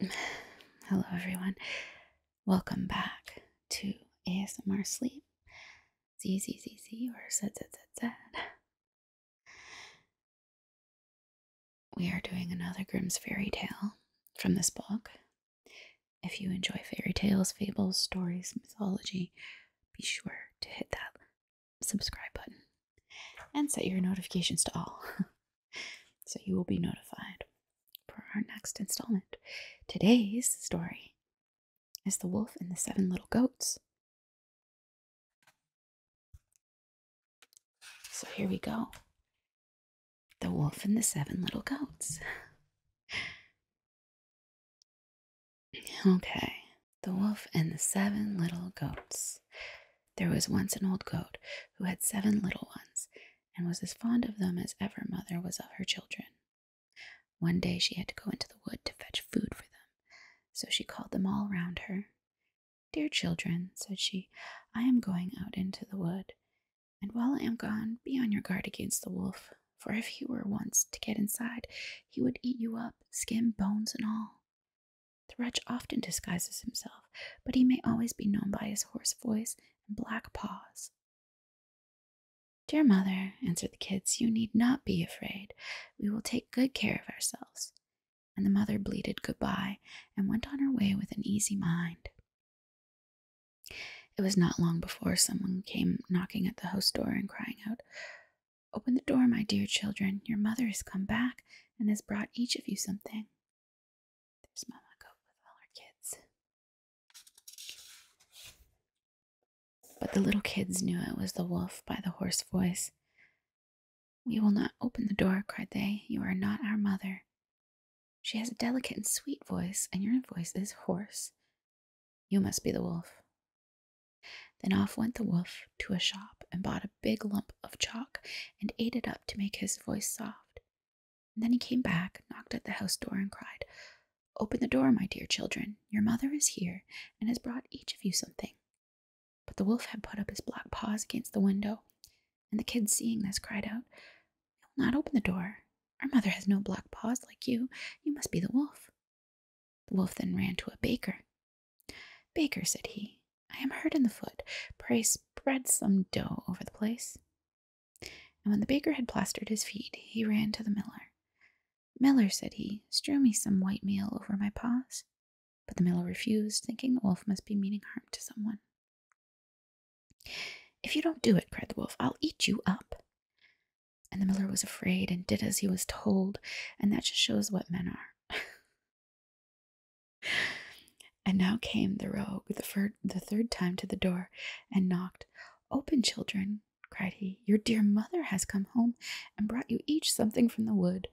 Hello, everyone. Welcome back to ASMR Sleep. Z or Z We are doing another Grimm's fairy tale from this book. If you enjoy fairy tales, fables, stories, mythology, be sure to hit that subscribe button and set your notifications to all. so you will be notified for our next installment. Today's story is The Wolf and the Seven Little Goats. So here we go The Wolf and the Seven Little Goats. okay, The Wolf and the Seven Little Goats. There was once an old goat who had seven little ones and was as fond of them as ever mother was of her children. One day she had to go into the wood to fetch food for them, so she called them all round her. Dear children, said she, I am going out into the wood, and while I am gone, be on your guard against the wolf, for if he were once to get inside, he would eat you up, skin, bones, and all. The wretch often disguises himself, but he may always be known by his hoarse voice and black paws. Dear mother, answered the kids, you need not be afraid. We will take good care of ourselves. And the mother bleated goodbye and went on her way with an easy mind. It was not long before someone came knocking at the house door and crying out, Open the door, my dear children. Your mother has come back and has brought each of you something. There's Mama Goat with all her kids. But the little kids knew it was the wolf by the hoarse voice. We will not open the door, cried they. You are not our mother. She has a delicate and sweet voice, and your voice is hoarse. You must be the wolf. Then off went the wolf to a shop and bought a big lump of chalk and ate it up to make his voice soft. then he came back, knocked at the house door, and cried, Open the door, my dear children. Your mother is here and has brought each of you something. But the wolf had put up his black paws against the window, and the kids, seeing this, cried out, I will not open the door. Our mother has no black paws like you. You must be the wolf. The wolf then ran to a baker. Baker, said he, I am hurt in the foot. Pray spread some dough over the place. And when the baker had plastered his feet, he ran to the miller. Miller, said he, strew me some white meal over my paws. But the miller refused, thinking the wolf must be meaning harm to someone. If you don't do it, cried the wolf, I'll eat you up. And the miller was afraid and did as he was told, and that just shows what men are. and now came the rogue the, third time to the door and knocked. Open, children, cried he. Your dear mother has come home and brought you each something from the wood.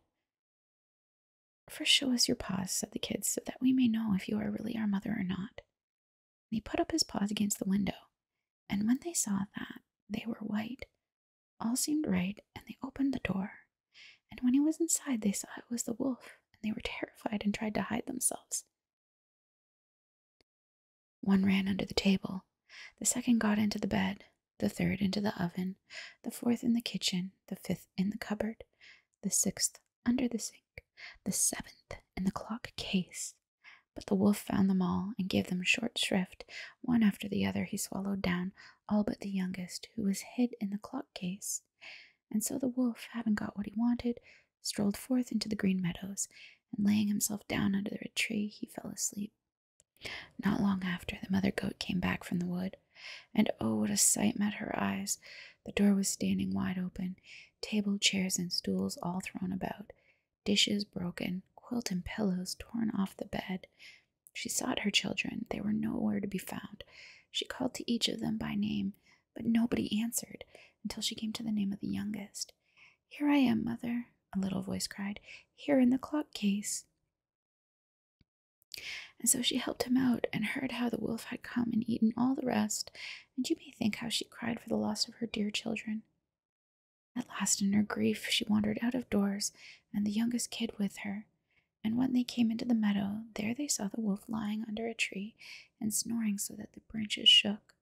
"First, show us your paws, said the kids, so that we may know if you are really our mother or not. And he put up his paws against the window, and when they saw that they were white, all seemed right, and they opened the door. And when he was inside, they saw it was the wolf, and they were terrified and tried to hide themselves. One ran under the table, the second got into the bed, the third into the oven, the fourth in the kitchen, the fifth in the cupboard, the sixth under the sink, the seventh in the clock case, but the wolf found them all and gave them short shrift. One after the other he swallowed down, all but the youngest, who was hid in the clock case. And so the wolf, having got what he wanted, strolled forth into the green meadows, and laying himself down under a tree, he fell asleep. Not long after, the mother goat came back from the wood, and oh, what a sight met her eyes! The door was standing wide open, table, chairs, and stools all thrown about, dishes broken, quilt and pillows torn off the bed. She sought her children. They were nowhere to be found. She called to each of them by name, but nobody answered until she came to the name of the youngest. Here I am, mother, a little voice cried, here in the clock case. And so she helped him out and heard how the wolf had come and eaten all the rest, and you may think how she cried for the loss of her dear children. At last, in her grief, she wandered out of doors, and the youngest kid with her. And when they came into the meadow, there they saw the wolf lying under a tree and snoring so that the branches shook.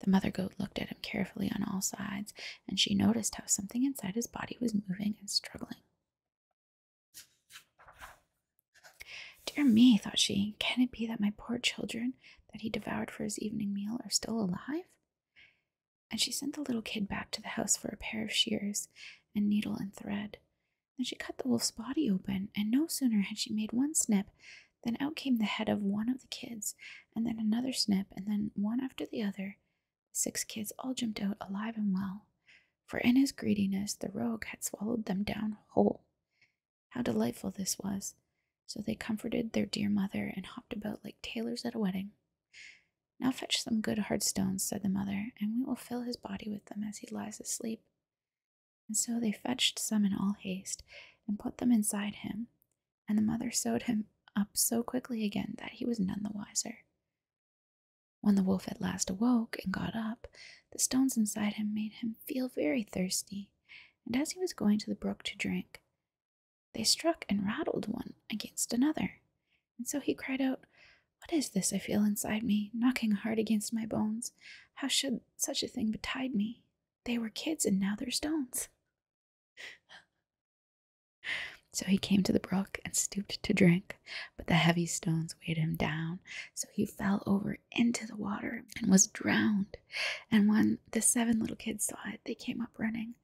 The mother goat looked at him carefully on all sides, and she noticed how something inside his body was moving and struggling. Dear me, thought she, can it be that my poor children, that he devoured for his evening meal are still alive? And she sent the little kid back to the house for a pair of shears and needle and thread. Then she cut the wolf's body open, and no sooner had she made one snip than out came the head of one of the kids, and then another snip, and then one after the other. six kids all jumped out alive and well, for in his greediness the rogue had swallowed them down whole. How delightful this was! So they comforted their dear mother and hopped about like tailors at a wedding. Now fetch some good hard stones, said the mother, and we will fill his body with them as he lies asleep. And so they fetched some in all haste and put them inside him, and the mother sewed him up so quickly again that he was none the wiser. When the wolf at last awoke and got up, the stones inside him made him feel very thirsty, and as he was going to the brook to drink, they struck and rattled one against another. And so he cried out, What is this I feel inside me, knocking hard against my bones? How should such a thing betide me? They were kids, and now they're stones. So he came to the brook and stooped to drink, but the heavy stones weighed him down, so he fell over into the water and was drowned. And when the seven little kids saw it, they came up running.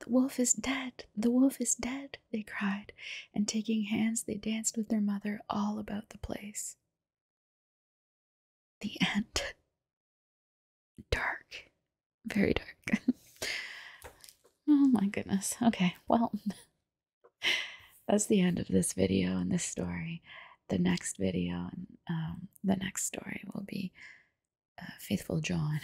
The wolf is dead! The wolf is dead! they cried, and taking hands, they danced with their mother all about the place. The end. Dark. Very dark. oh my goodness. Okay, well, that's the end of this video and this story. The next video and um, the next story will be uh, Faithful John.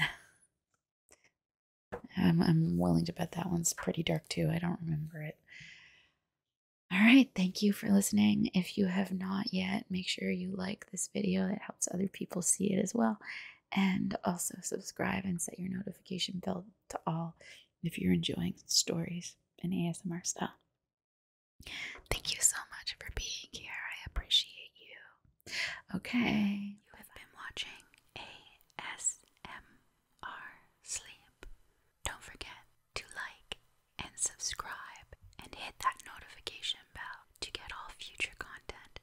I'm, I'm willing to bet that one's pretty dark too. I don't remember it. All right, thank you for listening. If you have not yet, make sure you like this video. It helps other people see it as well. And also subscribe and set your notification bell to all if you're enjoying stories in ASMR style, Thank you so much for being here. I appreciate you. Okay. You have been watching ASMR Sleep. Don't forget to like and subscribe and hit that notification bell to get all future content.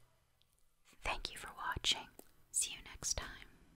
Thank you for watching. See you next time.